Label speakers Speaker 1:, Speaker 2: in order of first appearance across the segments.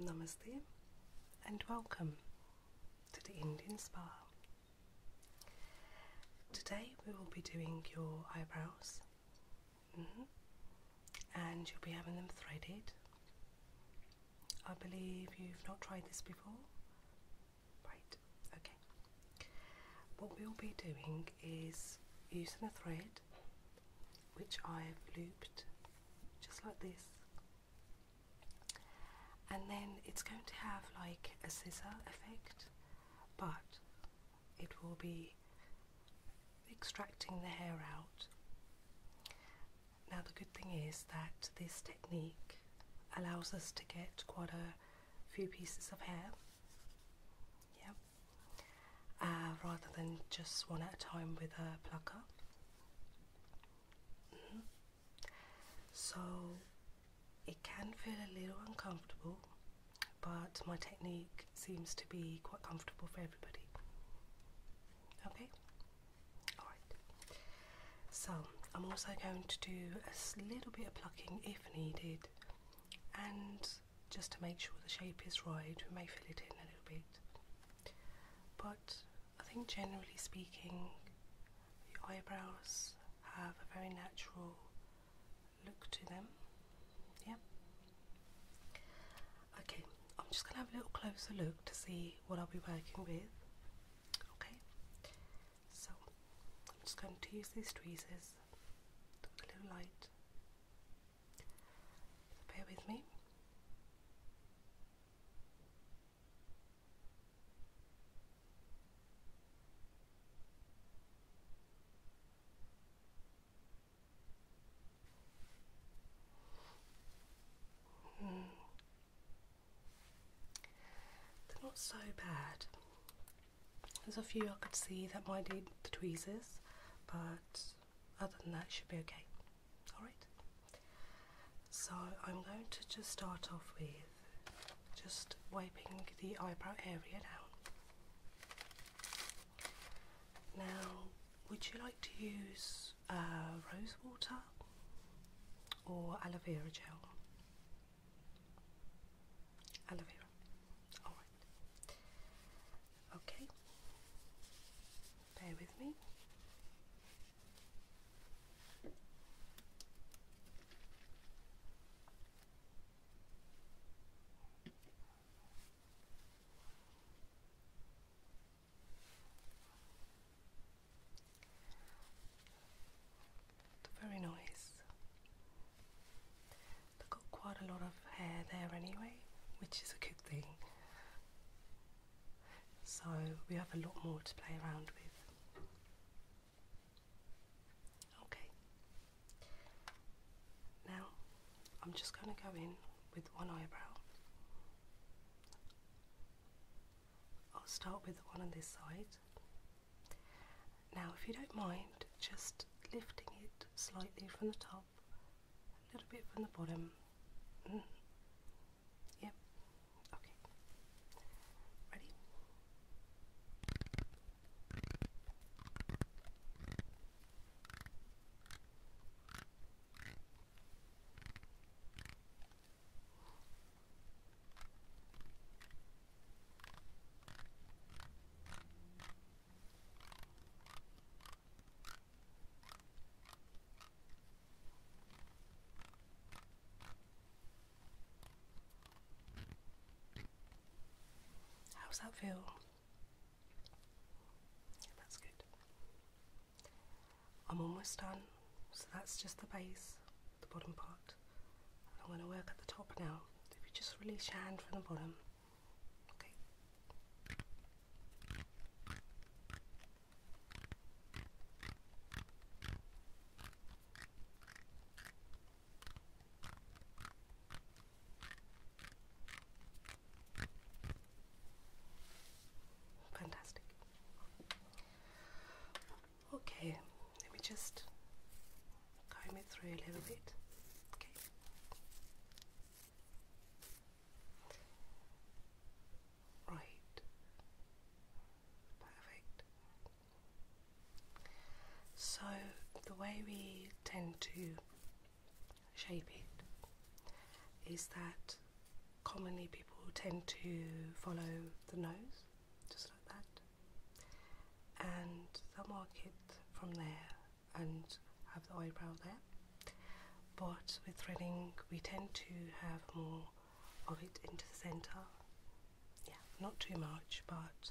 Speaker 1: Namaste and welcome to the Indian Spa. Today we will be doing your eyebrows mm-hmm, and you'll be having them threaded. I believe you've not tried this before. Right, okay. What we'll be doing is using a thread which I've looped just like this. And then it's going to have like a scissor effect, but it will be extracting the hair out. Now the good thing is that this technique allows us to get quite a few pieces of hair yeah, uh, rather than just one at a time with a plucker. Mm-hmm. So it can feel a little uncomfortable, but my technique seems to be quite comfortable for everybody. Okay, alright. So I'm also going to do a little bit of plucking if needed and just to make sure the shape is right. We may fill it in a little bit, but I think generally speaking, the eyebrows have a very natural look to them. Yep. Okay, I'm just gonna have a little closer look to see what I'll be working with. Okay, so I'm just going to use these tweezers, a little light bear with me. Hmm. They're not so bad. There's a few I could see that might need the tweezers, but other than that, it should be okay. Alright? So I'm going to just start off with just wiping the eyebrow area down. Now, would you like to use uh, rose water or aloe vera gel? Aloe vera. All right. Okay. Bear with me. very noise I've got quite a lot of hair there anyway, which is a good thing. So we have a lot more to play around with. Okay. Now I'm just going to go in with one eyebrow. I'll start with the one on this side. Now if you don't mind just lifting it slightly from the top a little bit from the bottom. Mm. Yep. Okay. Ready? How's that feel? Yeah, that's good. I'm almost done, so that's just the base, the bottom part. I'm going to work at the top now. If you just release your hand from the bottom. Okay. Fantastic. Okay, let me just comb it through a little bit. Okay. Right. Perfect. So, the way we tend to shape it is that commonly people tend to follow the nose, just like that and the will mark it from there and have the eyebrow there. But with threading, we tend to have more of it into the centre. Yeah, not too much, but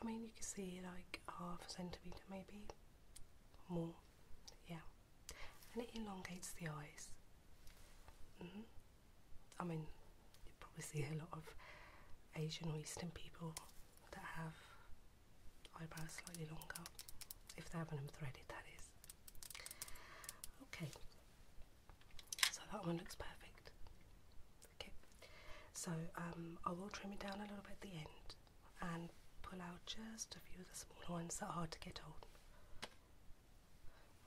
Speaker 1: I mean, you can see like half a centimetre maybe more. Yeah, and it elongates the eyes. Mm-hmm. I mean, you probably see a lot of Asian or Eastern people that have eyebrows slightly longer, if they haven't threaded, that is. Okay, so that one looks perfect. Okay, so um, I will trim it down a little bit at the end and pull out just a few of the smaller ones that are hard to get hold.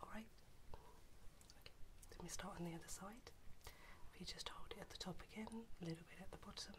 Speaker 1: Alright, okay. let me start on the other side. If you just hold it at the top again, a little bit at the bottom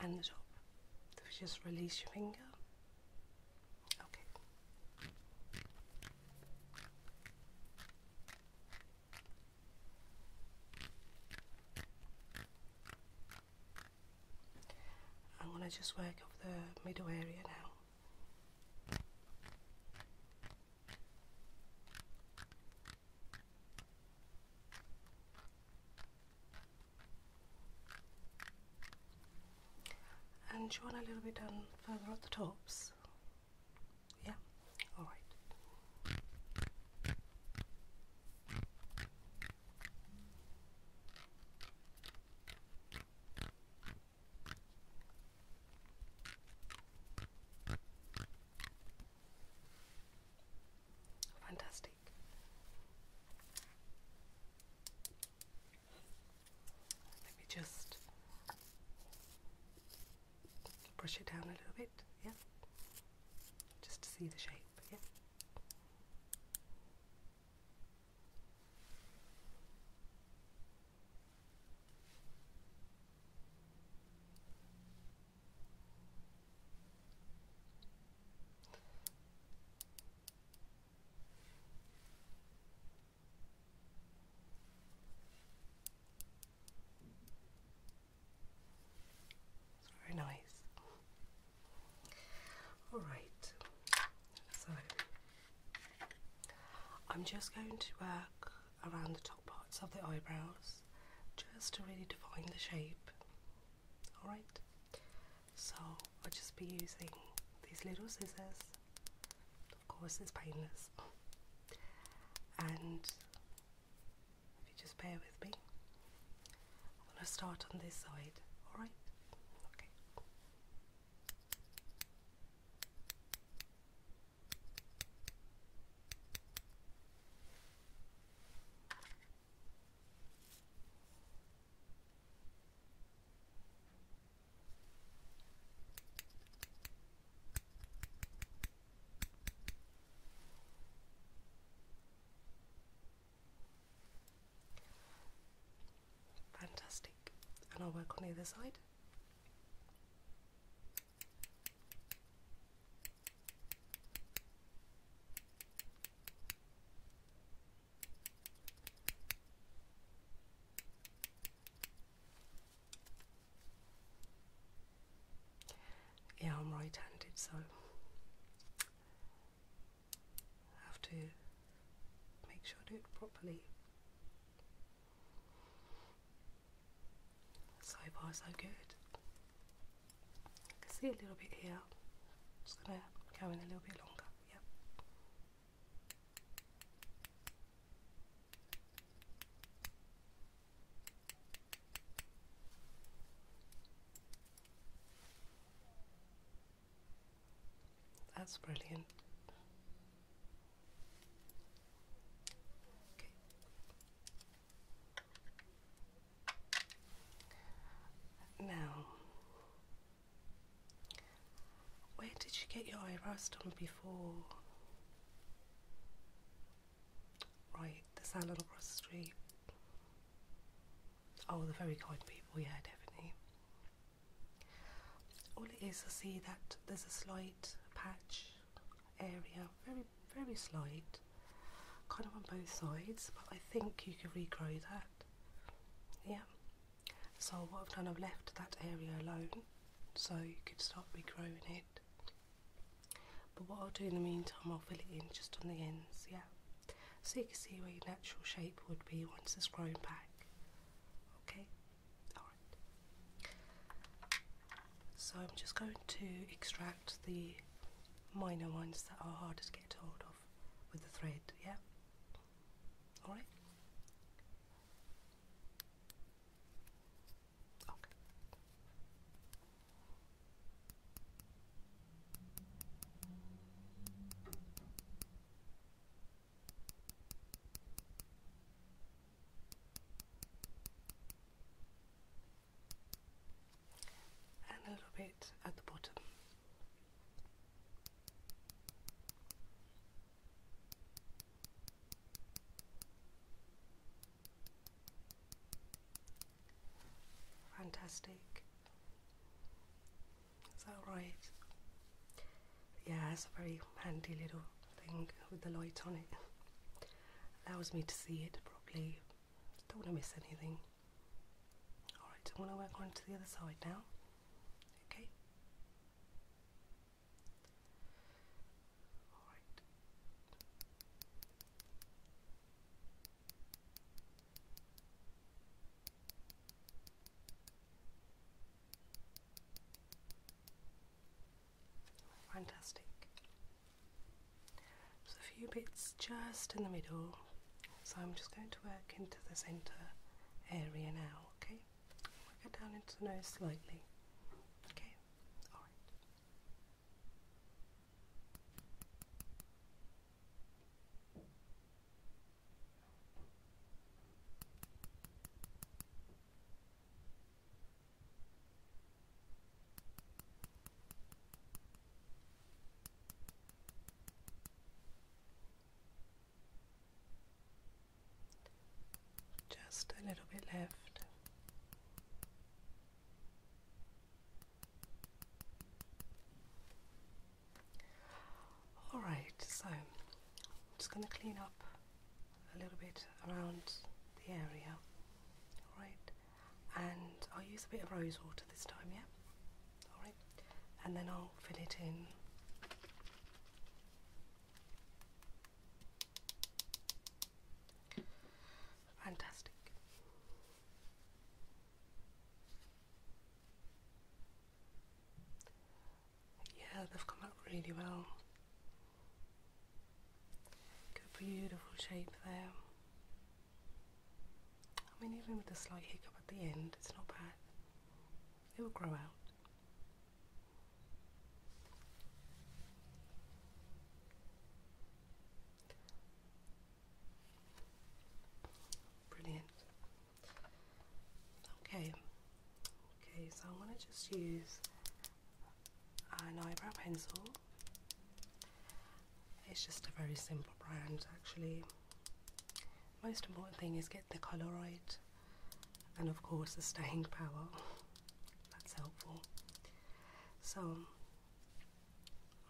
Speaker 1: and the top. just release your finger. Okay. I'm going to just work up the middle area now. And draw a little bit done further at the tops? Yeah? Alright. Fantastic. Let me just brush it down a little bit, yeah, just to see the shape, yeah. It's very nice. All right, so I'm just going to work around the top parts of the eyebrows just to really define the shape. Alright, so I'll just be using these little scissors, of course, it's painless, and if you just bear with me, I'm going to start on this side. Alright, okay. Fantastic, and I'll work on either side. Yeah, I'm right handed, so I have to make sure I do it properly. So far, so good. I can see a little bit here. just going to go in a little bit longer. Yep. That's brilliant. Now, where did you get your eyebrows done before? Right, the salon across the street. Oh, the very kind people, yeah, definitely. All it is, to see that there's a slight patch area, very, very slight, kind of on both sides, but I think you can regrow that. Yeah. So what I've done, I've left that area alone, so you could start regrowing it. But what I'll do in the meantime, I'll fill it in just on the ends, yeah. So you can see where your natural shape would be once it's grown back. Okay. So I'm just going to extract the minor ones that are harder to get hold of with the thread, yeah? Alright? Okay and a little bit at the bottom. Fantastic. Is that right? Yeah, it's a very handy little thing with the light on it. Allows me to see it properly. Don't want to miss anything. Alright, I'm going to work on to the other side now. Okay. Alright. Fantastic. There's a few bits just in the middle, so I'm just going to work into the centre area now, okay? Work it down into the nose slightly. Okay, alright. Just a little bit left. Alright, so I'm just going to clean up a little bit around the area. Alright, and I'll use a bit of rose water this time, yeah? Alright, and then I'll fill it in. Fantastic. Yeah, they've come up really well. Good beautiful shape there. I mean even with the slight hiccup at the end, it's not bad. It will grow out. Brilliant. Okay, okay, so I'm going to just use an eyebrow pencil. It's just a very simple brand actually. Most important thing is get the colour right and of course the staying power. That's helpful. So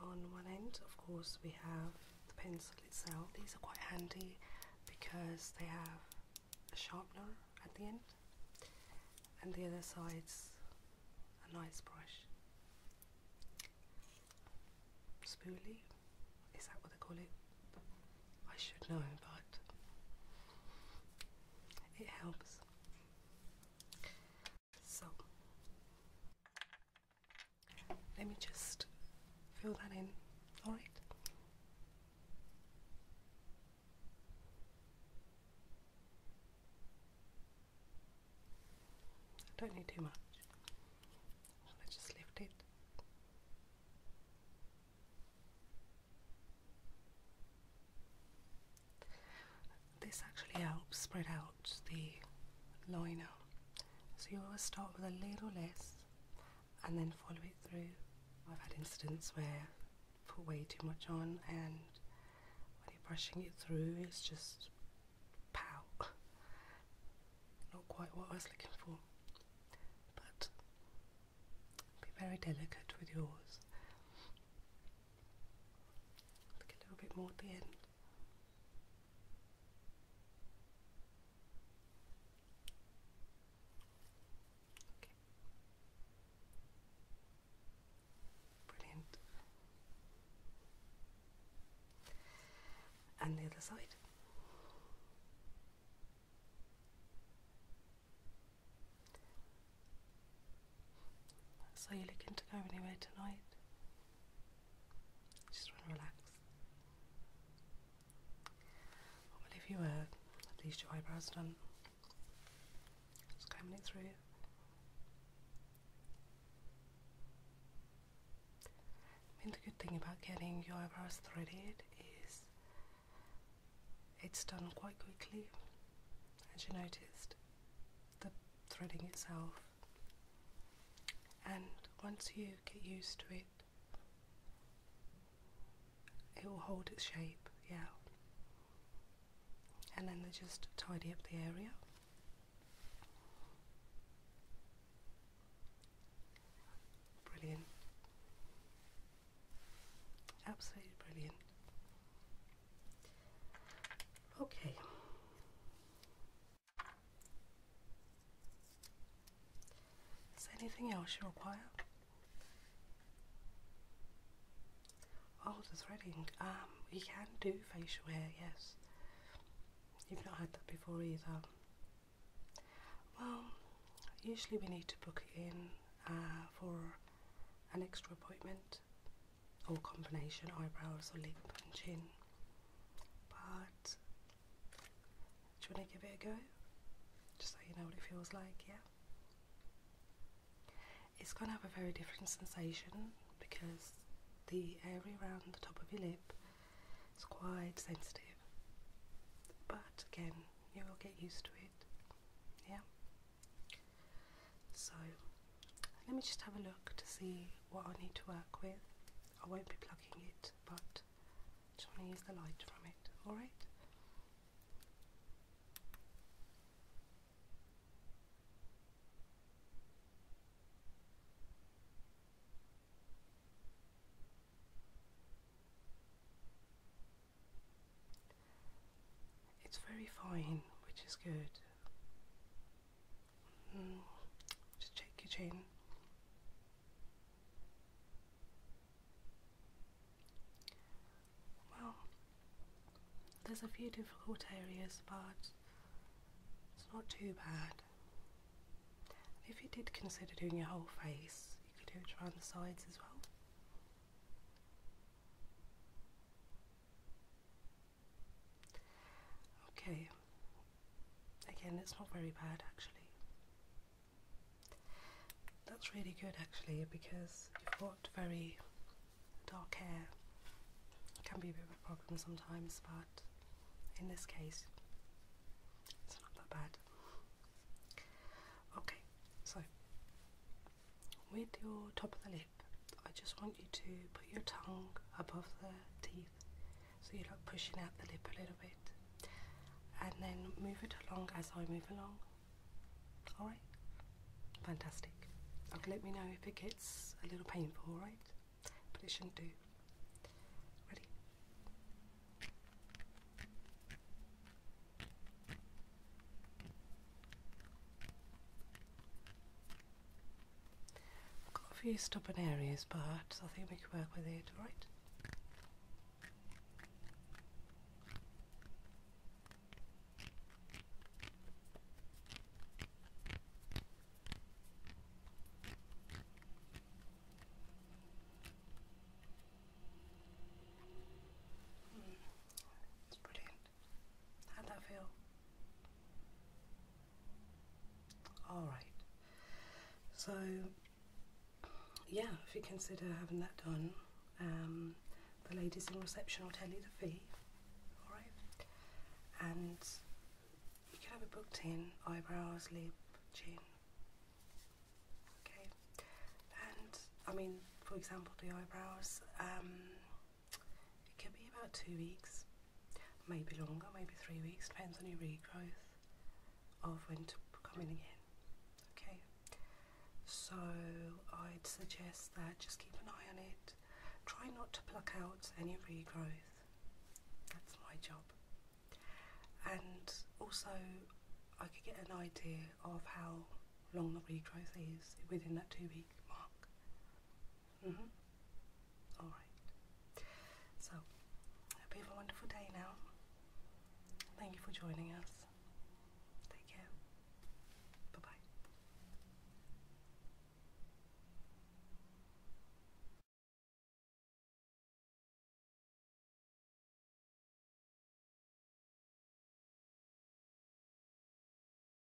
Speaker 1: on one end of course we have the pencil itself. These are quite handy because they have a sharpener at the end and the other side's a nice brush. Spoolie? Is that what they call it? I should know, but it helps. So, let me just fill that in, alright? I don't need too much. let just lift it. This actually helps spread out the liner. So you always start with a little less and then follow it through. I've had incidents where put way too much on, and when you're brushing it through, it's just pow. Not quite what I was looking for. But be very delicate with yours. Look a little bit more at the end. Brilliant. And the other side. So you're looking to go anywhere tonight? Just want to relax. Well, if you were uh, at least your eyebrows done, just combing it through. I mean, the good thing about getting your eyebrows threaded is it's done quite quickly, as you noticed. The threading itself and once you get used to it, it will hold its shape, yeah. And then they just tidy up the area. Brilliant. Absolutely brilliant. Okay. Is there anything else you require? Oh, the threading. Um, you can do facial hair, yes. You've not had that before either. Well, usually we need to book it in uh, for an extra appointment or combination eyebrows or lip and chin. But do you want to give it a go? Just so you know what it feels like, yeah? It's going to have a very different sensation because the area around the top of your lip is quite sensitive. But again, you will get used to it, yeah? So, let me just have a look to see what I need to work with. I won't be plugging it, but I just want to use the light from it, alright? It's very fine, which is good. Hmm. Just check your chin. Well, there's a few difficult areas, but it's not too bad. If you did consider doing your whole face, you could do it around the sides as well. Okay, again, it's not very bad actually. That's really good actually because you've got very dark hair. can be a bit of a problem sometimes, but in this case, it's not that bad. Okay, so with your top of the I just want you to put your tongue above the teeth so you're like pushing out the lip a little bit and then move it along as I move along. Alright? Fantastic. let me know if it gets a little painful, right? But it shouldn't do. Ready? got a few stubborn areas, but I think we can work with it, all right? It's hmm. brilliant. How'd that feel? Alright. So, yeah, if you consider having that done, um, the ladies in reception will tell you the fee, alright? And you can have it booked in eyebrows, lip, chin. Okay? And, I mean, for example, the eyebrows. Um, it could be about two weeks, maybe longer, maybe three weeks, depends on your regrowth of when to come in again. Okay, so I'd suggest that just keep an eye on it. Try not to pluck out any regrowth. That's my job. And also, I could get an idea of how long the regrowth is within that two week mark. Mm -hmm. All right. So, have a wonderful day now. Thank you for joining us. Take care. Bye bye.